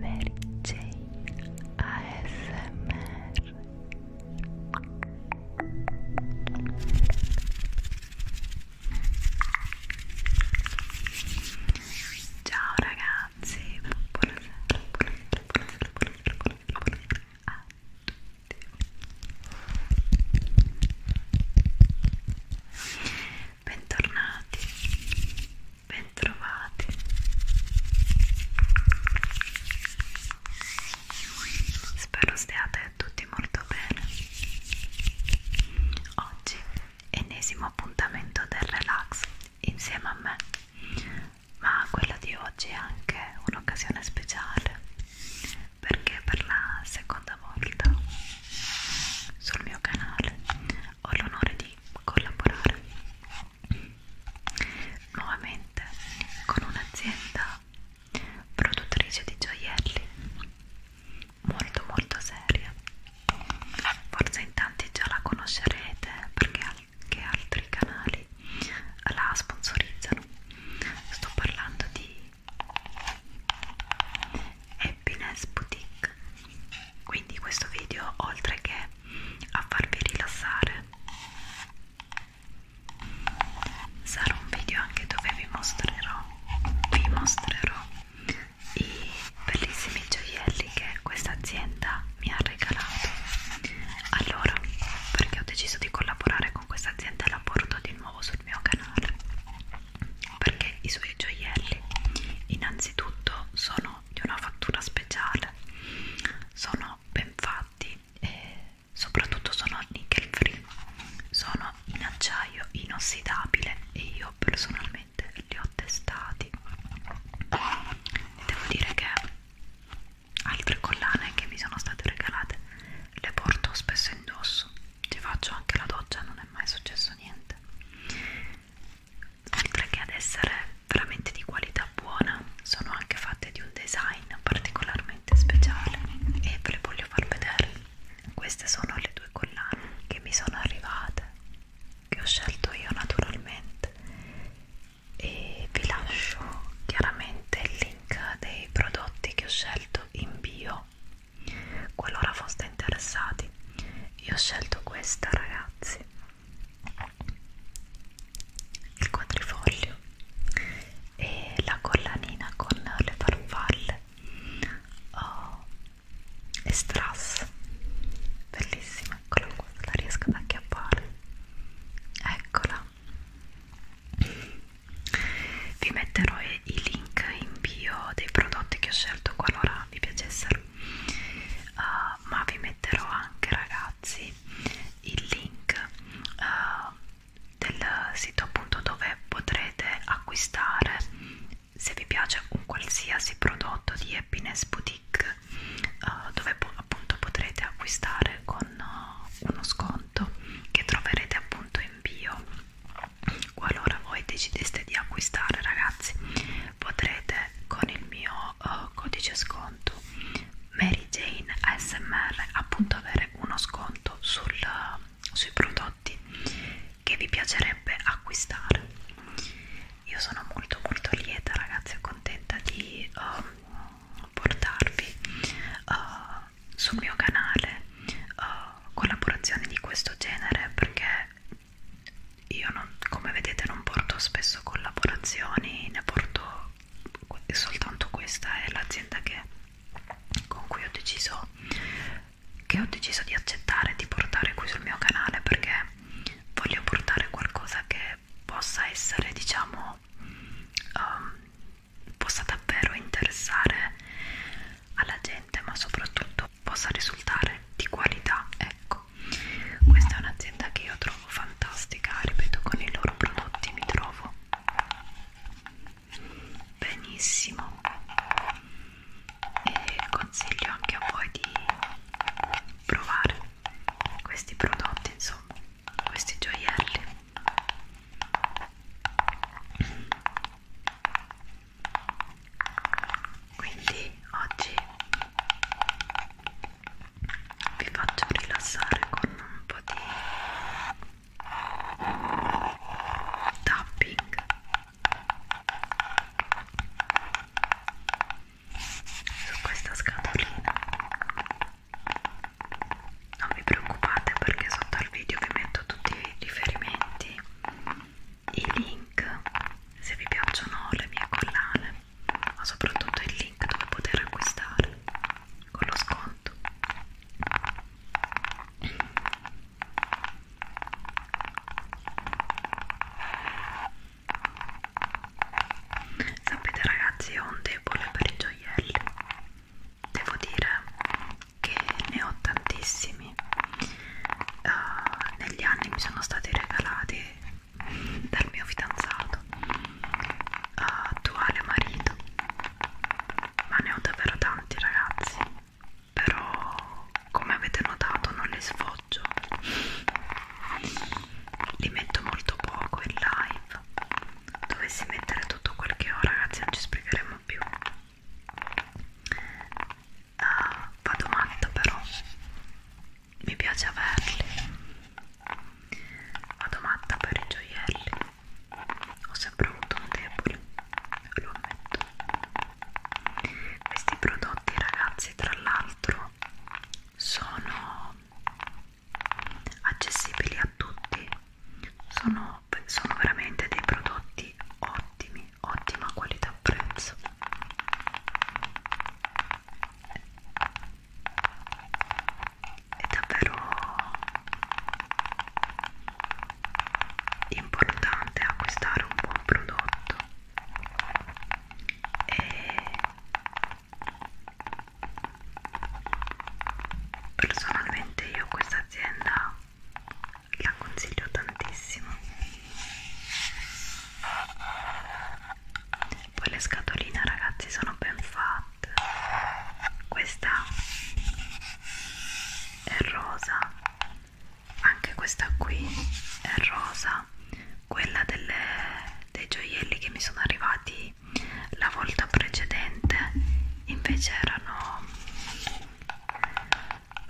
Mary Jane ASMR Ciao ragazzi, buonasera, buonasera, buonasera, buonasera, buonasera, buonasera a tutti Bentornati Bentrovati. Spero stiate tutti molto bene. Oggi ennesimo appuntamento del relax insieme a me, ma quella di oggi è anche un'occasione speciale perché per la seconda volta sul mio canale ho l'onore di collaborare nuovamente con un'azienda produttrice di gioielli molto molto seria forse in tanti già la conoscerete perché anche altri canali la sponsorizzano sto parlando di Happiness Boutique quindi questo video oltre che a farvi rilassare sarà un video anche dove vi mostrerò vi mostrerò i bellissimi gioielli che questa azienda mi ha regalato allora perché ho deciso di collaborare con questa azienda e la porto di nuovo sul mio canale perché i suoi gioielli innanzitutto sono di una fattura speciale, sono ben fatti e soprattutto sono nickel free, sono in acciaio inossidabile e io personalmente li ho testati e devo dire che altre collane che mi sono state regalate le porto spesso indosso, ci faccio anche la doccia, non è mai successo niente oltre che ad essere veramente di qualità buona sono anche fatte di un design particolarmente speciale e ve le voglio far vedere queste sono le due collane che mi sono arrivate che ho scelto io naturalmente e vi lascio chiaramente il link dei prodotti che ho scelto in bio qualora foste interessati io ho scelto questa ragazzi il quadrifoglio e la collanina con le farfalle oh, e strass bellissima eccola qua la riesco ad acchiappare eccola vi metterò i link in bio dei prodotti che ho scelto concerto qualora vi piacessero uh, ma vi metterò anche ragazzi il link uh, del sito appunto dove potrete acquistare se vi piace un qualsiasi prodotto di Happiness Boutique uh, dove po appunto potrete acquistare con uh, uno sconto che troverete appunto in bio qualora voi decideste di acquistare ragazzi potrete con il mio uh, codice sconto Mary Jane ASMR appunto avere uno sconto sul, eh, sui prodotti che vi piacerebbe acquistare io sono molto molto lieta ragazzi e contenta di uh, portarvi uh, sul mio canale uh, collaborazioni di questo genere perché io non, come vedete non porto spesso collaborazioni, ne porto soltanto questa è l'azienda con cui ho deciso che ho deciso di accettare di portare qui sul mio canale perché voglio portare qualcosa che possa essere diciamo um, possa davvero interessare alla gente ma soprattutto possa risultare di qualità ecco questa è un'azienda che io trovo fantastica ripeto con i loro prodotti mi trovo benissimo e consiglio anche a voi di provare questi prodotti insomma questi gioielli quindi oggi vi faccio rilassare con un po' di tapping su questa scatolina non vi preoccupate perché sotto al video vi metto tutti i riferimenti i link se vi piacciono le mie collane ma soprattutto il link dove poter acquistare con lo sconto sapete ragazzi ho un debole per i gioielli devo dire che ne ho tantissimi uh, negli anni mi sono stati regalati dal mio fidanzato uh, eh, attuale marito ma ne ho davvero tanti ragazzi però come avete notato non li sfoggio li metto molto poco in live dovessi mettere tutto quel che ho ragazzi non ci spiegheremo più Uh, vado matta però mi piace averli vado matta per i gioielli ho sempre avuto un debole lo ammetto questi prodotti ragazzi tra l'altro sono accessibili a tutti sono, sono veramente dei prodotti ottimi ottima qualità prezzo è davvero importante acquistare un buon prodotto e personalmente io questa azienda la consiglio tantissimo poi le scatoline ragazzi sono ben fatte questa è rosa anche questa qui è rosa quella delle, dei gioielli che mi sono arrivati quindi la volta precedente invece erano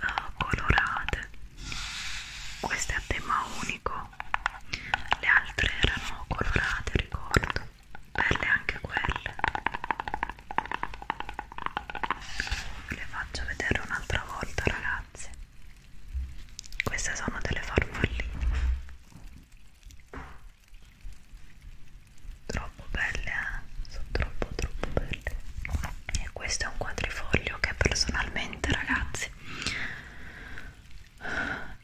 uh, colorate queste a tema unico le altre erano colorate ricordo belle anche quelle le faccio vedere un'altra volta ragazzi queste sono delle farfalline troppo belle eh? sono troppo troppo belle e questo è un quadrifoglio che personalmente ragazzi me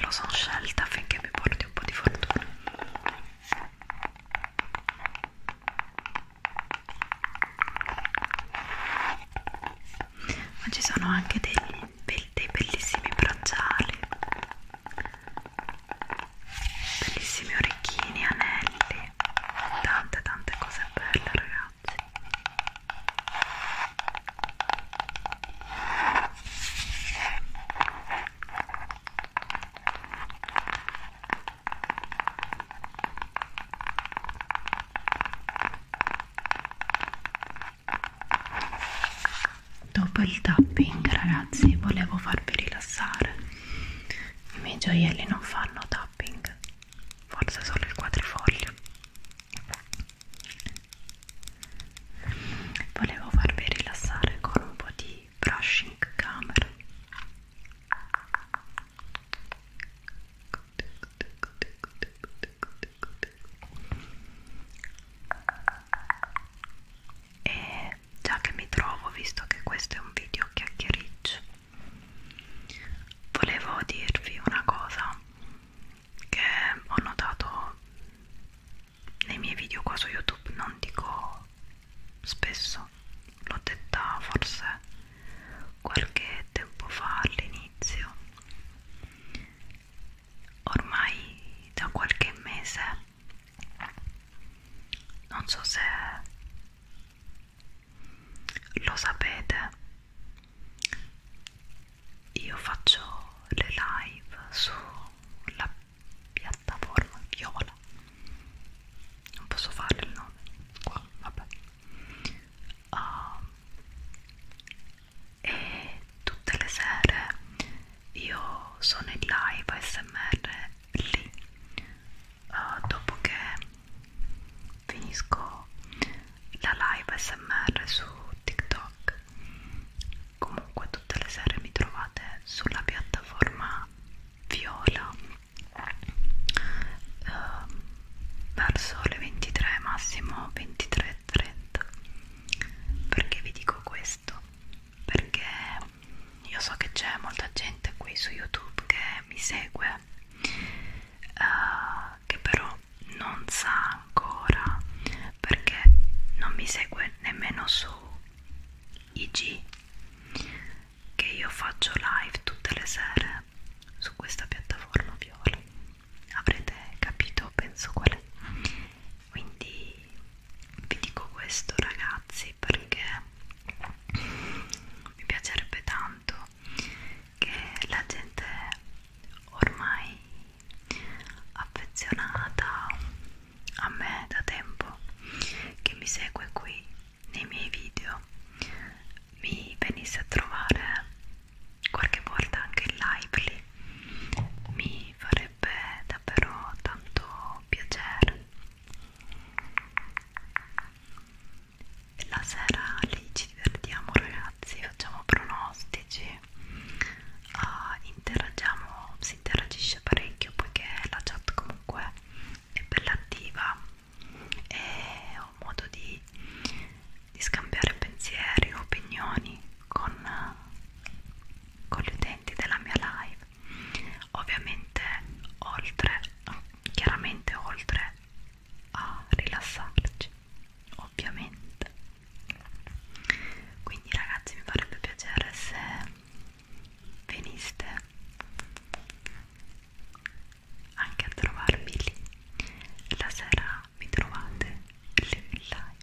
lo sono scelta affinché mi porti un po' di fortuna ma ci sono anche degli be dei bellissimi bracciali bellissimi orecchini, anelli tante tante cose belle ragazzi Dopo il tapping, ragazzi, volevo farvi rilassare. I miei gioielli non fanno tapping, forse solo il quadrifoglio. Volevo farvi rilassare con un po' di brushing camera e già che mi trovo visto che questo è un video chiacchiericcio volevo dirvi una cosa che ho notato nei miei video qua su youtube non dico spesso l'ho detta forse qualche tempo fa all'inizio ormai da qualche mese non so se lo sapete io faccio le live sulla piattaforma viola non posso fare il nome qua vabbè uh, e tutte le sere io sono in live smr lì uh, dopo che finisco la live smr su tiktok comunque tutte le sere mi trovate sulla piattaforma viola uh, verso le 23 massimo 23 del freddo perché vi dico questo perché io so che c'è molta gente qui su youtube che mi segue uh, che però non sa ancora perché non mi segue nemmeno su IG che io faccio live tutte le sere su questa piattaforma viola avrete capito penso qual è quindi vi dico questo ragazzi perché mi piacerebbe tanto che la gente ormai affezionata a me da tempo che mi segue qui nei miei video mi venisse a trovare qualche volta anche in live lì mi farebbe davvero tanto piacere la sera lì ci divertiamo ragazzi facciamo pronostici uh, interagiamo si interagisce parecchio poiché la chat comunque è bella attiva e sia un modo di, di scambiare pensieri, opinioni con, con gli utenti della mia live ovviamente oltre chiaramente oltre a rilassarci ovviamente quindi ragazzi mi farebbe piacere se veniste anche a trovarmi lì la sera ma mi trovate lì in live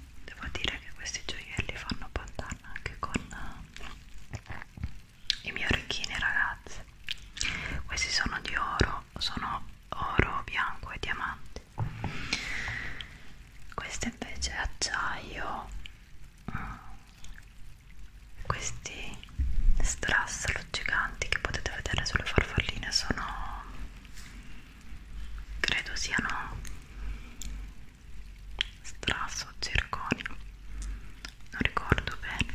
devo dire che questi gioielli fanno pantalone anche con eh, i miei orecchini ragazzi questi sono di oro sono oro bianco e diamanti questo invece è acciaio mm, questi strass luccicanti che potete vedere sulle farfalline sono credo siano strasso zirconio non ricordo bene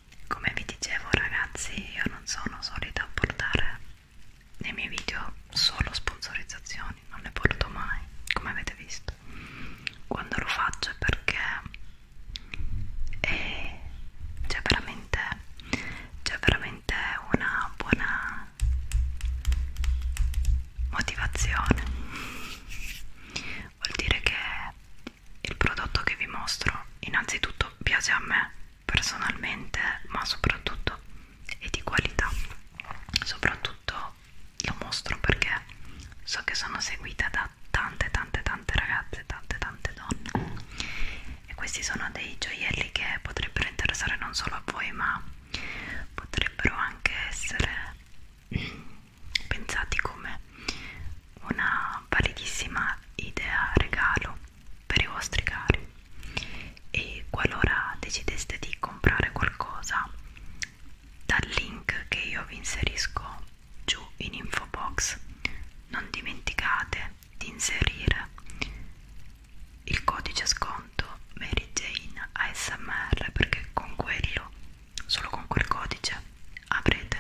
come vi dicevo ragazzi io non sono solita a portare nei miei video solo sponsorizzazioni non le porto mai come avete visto quando lo faccio è perché e c'è veramente c'è veramente una buona motivazione vuol dire che il prodotto che vi mostro innanzitutto piace a me personalmente ma soprattutto è di qualità soprattutto lo mostro perché so che sono seguita da tante tante tante ragazze tante tante donne e questi sono dei gioielli che potrebbero interessare non solo a voi ma potrebbero anche essere pensati come una validissima idea regalo per i vostri cari e qualora decideste di comprare qualcosa dal link che io vi inserisco giù in info box non dimenticate di inserire il codice sconto Mary Jane ASMR perché con quello solo con quel codice avrete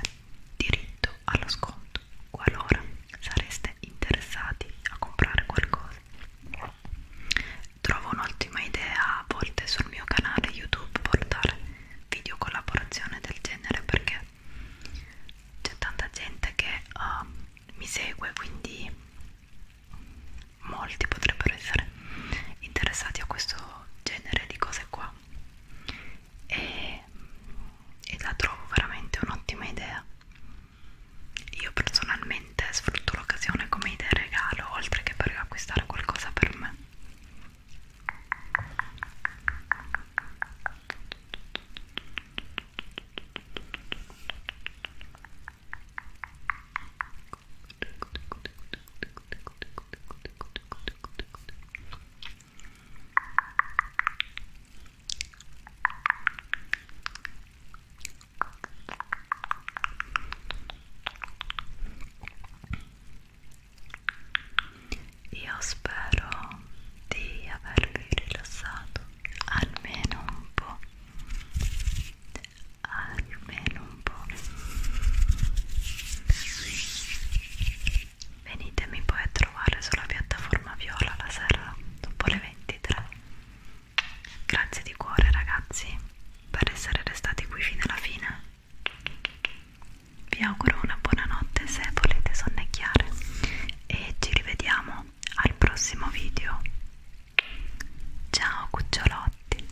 diritto allo sconto soprattutto qualora sareste interessati a comprare qualcosa trovo un'ottima idea a volte sul mio canale youtube portare video collaborazione del genere perché c'è tanta gente che uh, mi segue quindi molti potrebbero essere interessati a questo genere di cose qua e, mm, e la trovo veramente un'ottima idea io personalmente sfrutto l'occasione come idea regalo oltre che per acquistare qualcosa per me io spero di avervi rilassato almeno un po', almeno un po'. Venitemi poi a trovare sulla piattaforma viola la sera dopo le 23. Grazie di cuore ragazzi per essere restati qui fino alla fine. Vi auguro una buona notte se volete sonnecchiare e ci rivediamo al prossimo video. Ciao cucciolotti!